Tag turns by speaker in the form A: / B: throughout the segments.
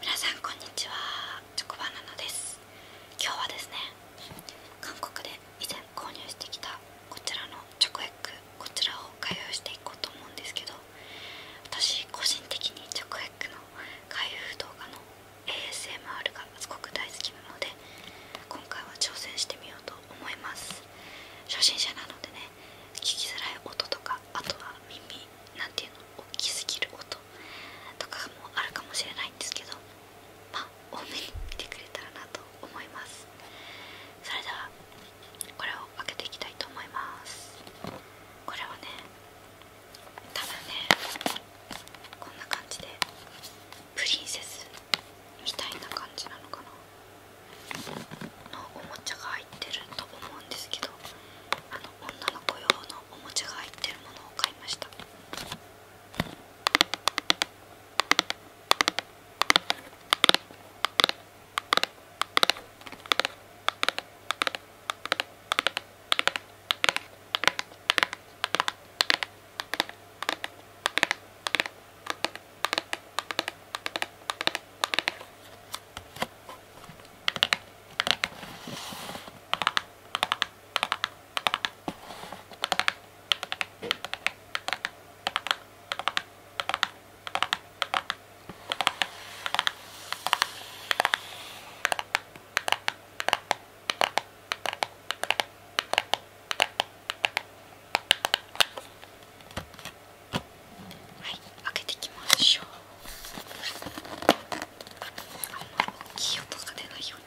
A: 皆さんこんにちはチョコバナナです今日はですね韓国で以前購入してきたこちらのチョコエッグこちらを開封していこうと思うんですけど私個人的にチョコエッグの開封動画の ASMR がすごく大好きなので今回は挑戦してみようと思います初心者なのでね聞きづらい音とかあとは耳何ていうの大きすぎる音とかもあるかもしれないんですけどまあ多めに見てくれたらなと思いますそれではこれを開けていきたいと思いますこれはね多分ねこんな感じでプリンセスみたいな感じなのかなのおもちゃが入ってると思うんですけどあの女の子用のおもちゃが入ってるものを買いましたはい開けていきましょう大きい音が出ないように。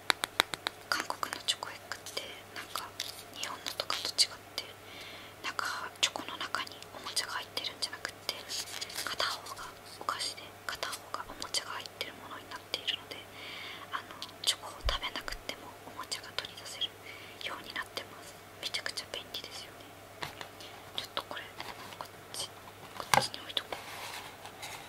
A: 韓国のチョコエッグってなんか日本のとかと違ってなんかチョコの中におもちゃが入ってるんじゃなくって片方がお菓子で片方がおもちゃが入ってるものになっているのであのチョコを食べなくてもおもちゃが取り出せるようになってますめちゃくちゃ便利ですよねちょっとこれこっちこっちに置いとこう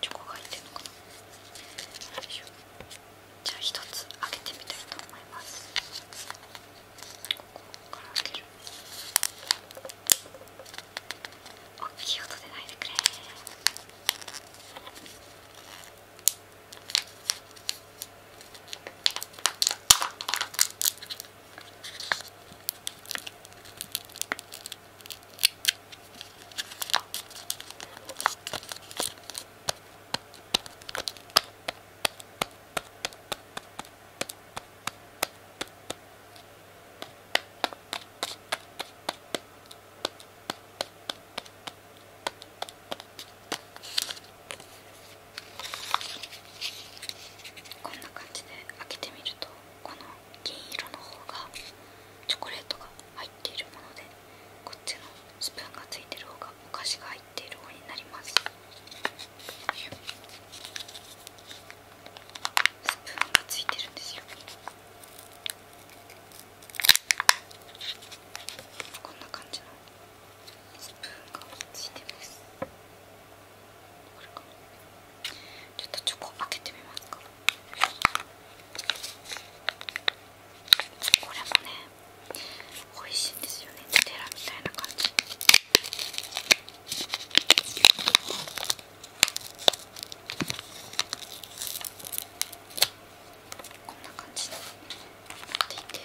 A: チョコが入ってるのかなよいしょじゃあ一つ開けてみたいと思いますここから開ける大きい音出ないでくれこんな感じで開けてみるとこの銀色の方がチョコレートが入っているものでこっちのスプーンがついてる方がお菓子が入っている方になりますスプーンがついてるんですよこんな感じのスプーンがついてますちょっとチョコ開けてみますかこれもね美味しいですよねテラみたいな感じこんな感じになっていて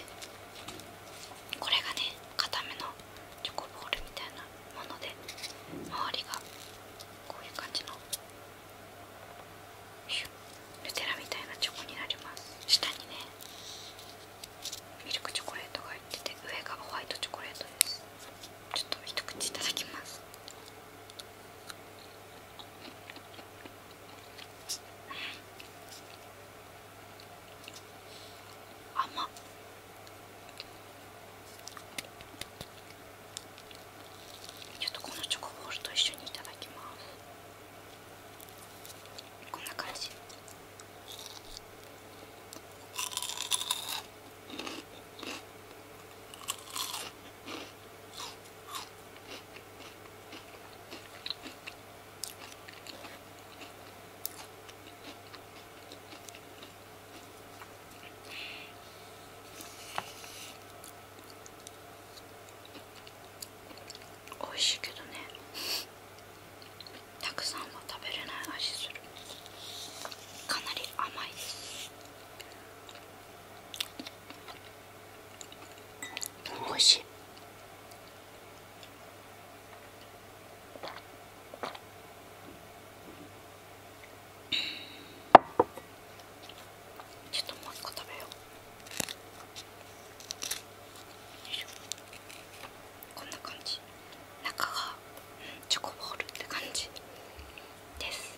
A: これがね固めのチョコボールみたいなもので周りがこういう感じのヌテラみたいなチョコになります下にねミルクチョコレートが入ってて上がホワイトチョコレートですちょっと一口いただきます甘っちょっとこのチョコボールと一緒にいただきますこんな感じ美味しいけどねたくさんは食べれない味するかなり甘いですでも美味しいちょっともう一個食べようこんな感じ中が、チョコボールって感じです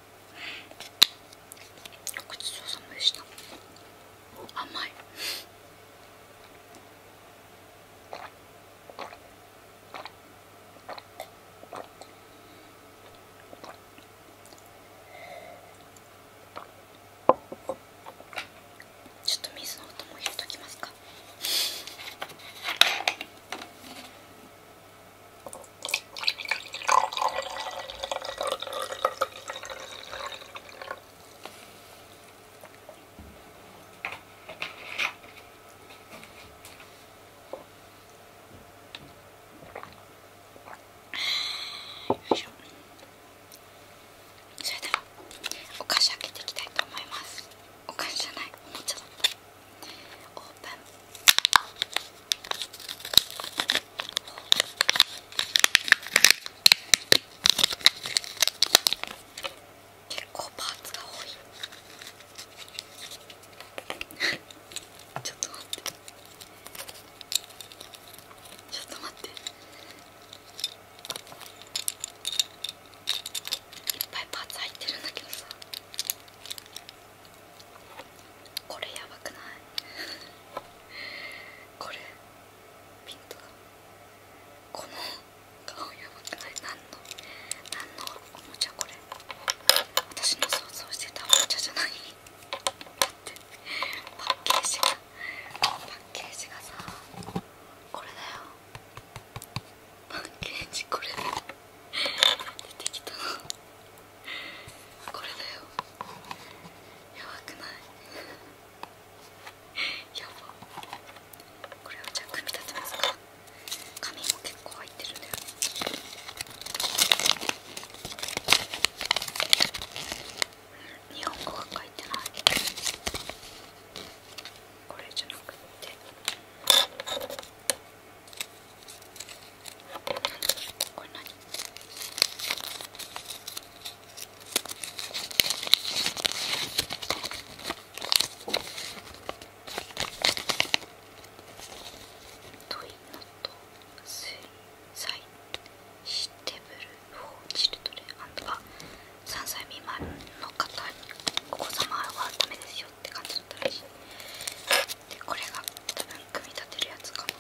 A: ごちそうさまでした甘いちょっと水の音も入れときますか。それではお菓子開けていきたいと思いますお菓子じゃないおもちゃだっオープン結構パーツが多いちょっと待ってちょっと待っていっぱいパーツ入ってるんだけどさ。これやばくない これピントだこの顔やばくない何の何のおもちゃこれ私の想像してたおもちゃじゃないだってパッケージがパッケージがさこれだよパッケージこれ出てきた これだよやばくない やばこれをじゃあ組み立てますか紙も結構入ってるんだよね日本語が書いてないこれじゃなくてここれ何トイノと水彩シテブルフォーチルドレアンドが3歳未満の方にお子様はダメですよって感じだったらしい。これが組み立てるやつかな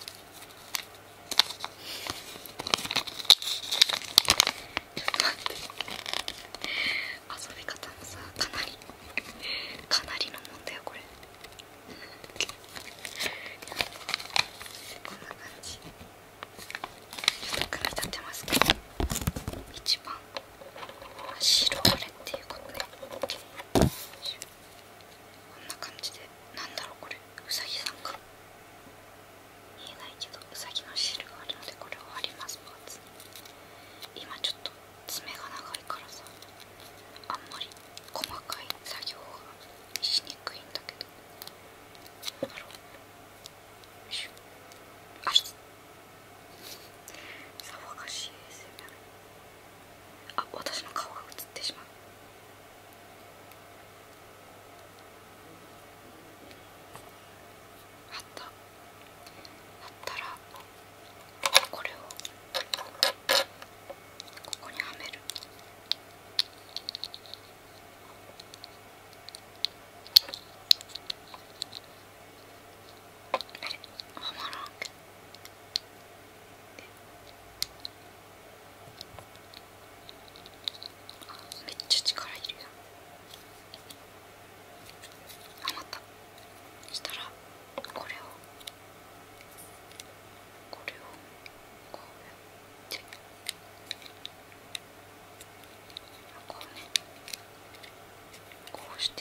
A: 遊び方もさかなりかなりのもんだよこれこんな感じ組み立てますけど一番白これっていうことねこんな感じでなんだろうこれうさぎさんか見えないけどうさぎの汁があるのでこれを貼りますパーツに今ちょっと爪が長いからさあんまり細かい作業がしにくいんだけどどだろうあっ騒がしいですねあ私の顔が映ってしまうあったあったらこれをここにはめるあれはまらんけど。めっちゃ力いるやん余ったしたらこれをこれをこうやってこうねこうして。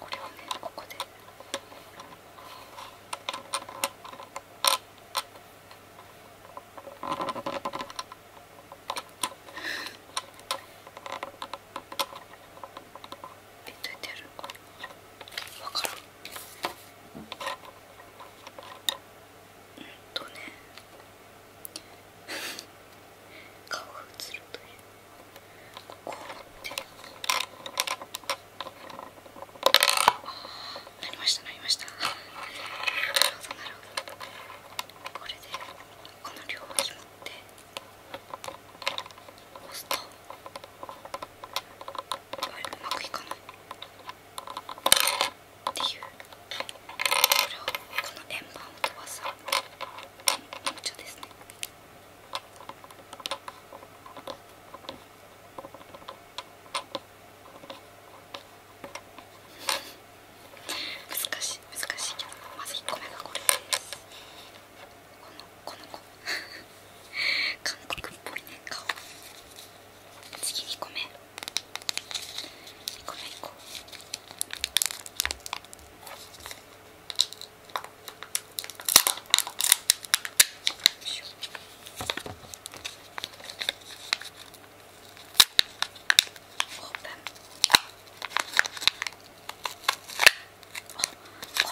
A: これをねここでえっとね 顔映るという。こうやってあなりましたなりましたなるほどなるほどこれでこの両ひもって押すとあれうまくいかないっていうこれをこの円盤を飛ばす。ちょですね難しい難しいけどまず1個目がこれですこのこの子韓国っぽいね顔次2個目2個目いこうこ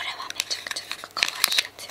A: れはめちゃくちゃなんか可愛いやつよ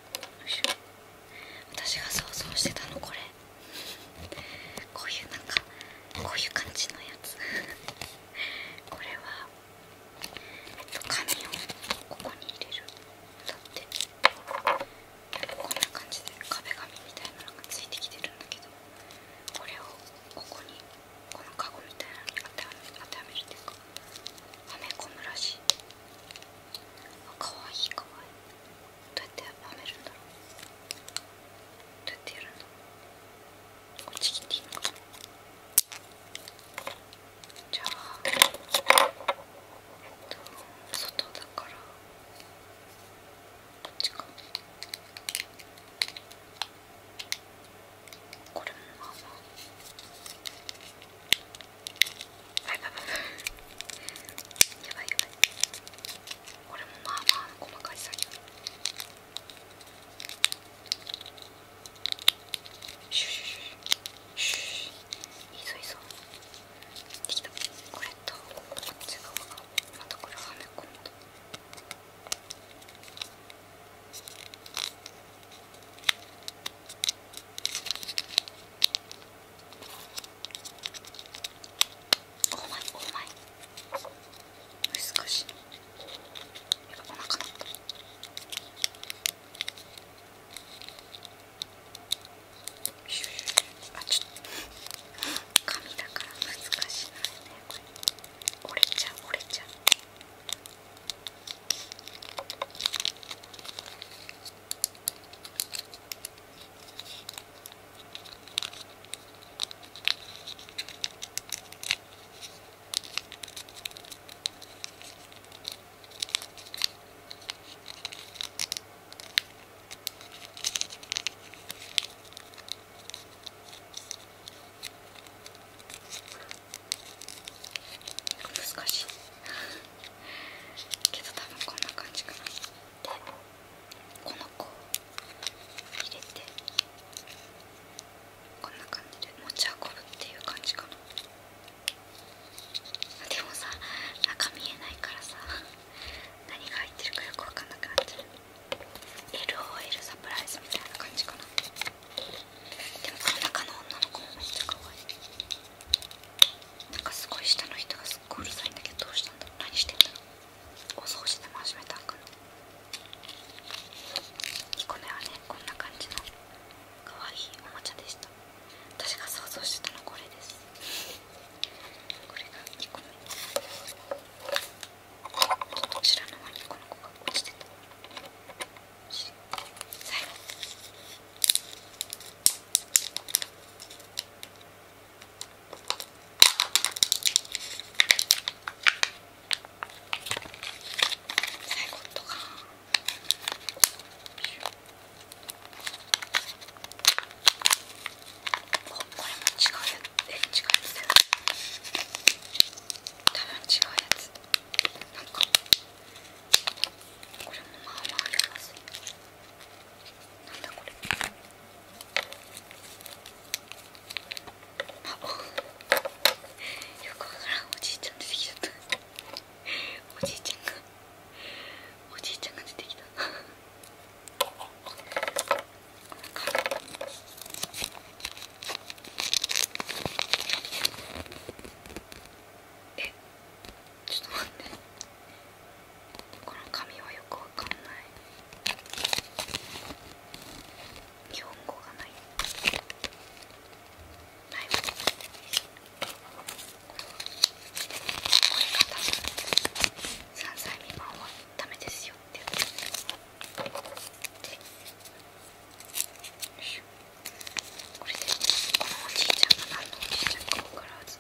A: 私が想像してたのこれこういうなんかこういう感じのやつこれはえ紙をここに入れるだってこんな感じで壁紙みたいなのがついてきてるんだけどこれをここにこのカゴみたいなのに当てはめるっていうかはめ込むらしい。かわいいかわいいどうやってはめるんだろうどうやってやるんだろうこっち切っていいのかなじゃあ、えっと、外だからこっちかこれもまあまあはいバブやばいやばいこれもまあまあ細かい作業シュシュシュシュいいぞいいできたこれとこっち側がまたこれはめ込んだようまいうまい難しいや、おなかったあちょっと紙だから難しいねこれ折れちゃう折れちゃう難しいけど多分こんな感じかなでこの子を入れてこんな感じで持ち運ぶっていう感じかなでもさ中見えないからさ何が入ってるかよく分かんなくなっちゃう。LOL サプライズみたいな感じかなでもこの中の女の子もめっちゃ可愛いなんかすごい下の人がすっごいうるさいんだけどどうしたんだ何してんだろうお掃除でも始めたんかなこの絵はねこんな感じのかわいいおもちゃでした私が想像してたのはこれですこれが2個目こちらの輪にこの子が落ちてた最後とかこれも違うやつ違うやだよ多分違うやつなんかこれもまあまあやばそうなんだこれあっよくわからんおじいちゃん出てきちゃったおじいちゃんがおじいちゃんが出てきたえちょっと待ってこの紙はよくわかんない日本語がないないこれが歳未満はダメですよってこれでこのおじいちゃんが何のおじいちゃんか分からず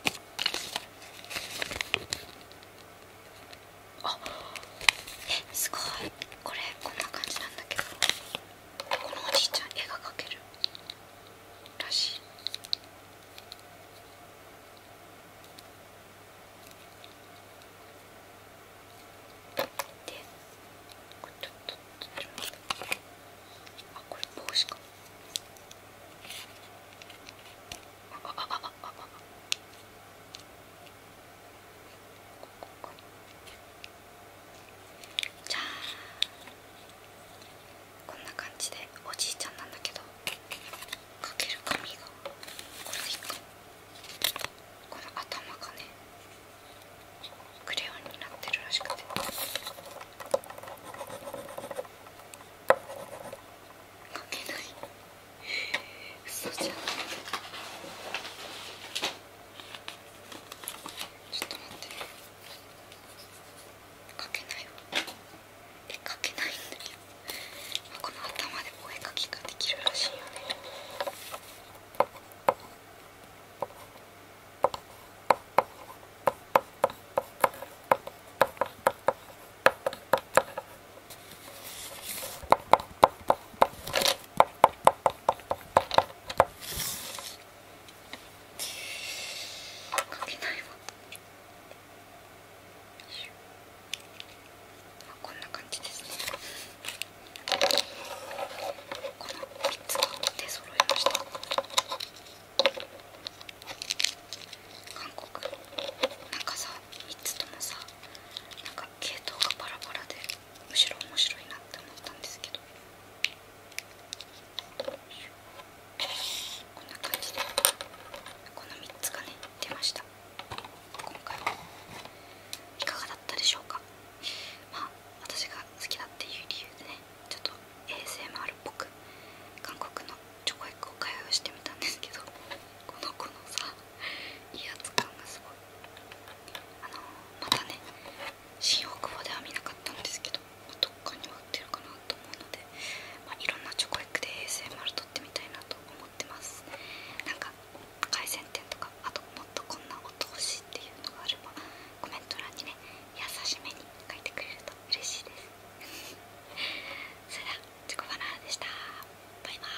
A: あえすごいこれこんな感じなんだけどこのおじいちゃん絵が描けるらしいでこれちょっとあこれ帽子かじゃあこんな感じでおじいちゃんなんだけどかける髪がこれでいいかこの頭がねクレヨンになってるらしくて。けない嘘じゃんちょっと待ってねかけないわえ書けないんだけどこの頭でお絵かきができるらしいよねかけないわこんな感じですねこの3つが出揃いました。韓国なんかさ3つともさなんか系統がバラバラでむしろ面白いなって思ったんですけどこんな感じでこの3つがね出ました今回はいかがだったでしょうかまあ私が好きだっていう理由でねちょっと ASMR っぽく韓国のチョコエッグを開封してみたんですけどこの子のさ威圧感がすごいあのまたね新大久保では見なかったんですけどどっかには売ってるかなと思うので、まいろんなチョコエッグで ASMR 撮ってみたいなと思ってますなんか回線店とかあともっとこんな音欲しいっていうのがあればコメント欄にね優しめに書いてくれると嬉しいですそれではチョコバナナでしたバイバーイ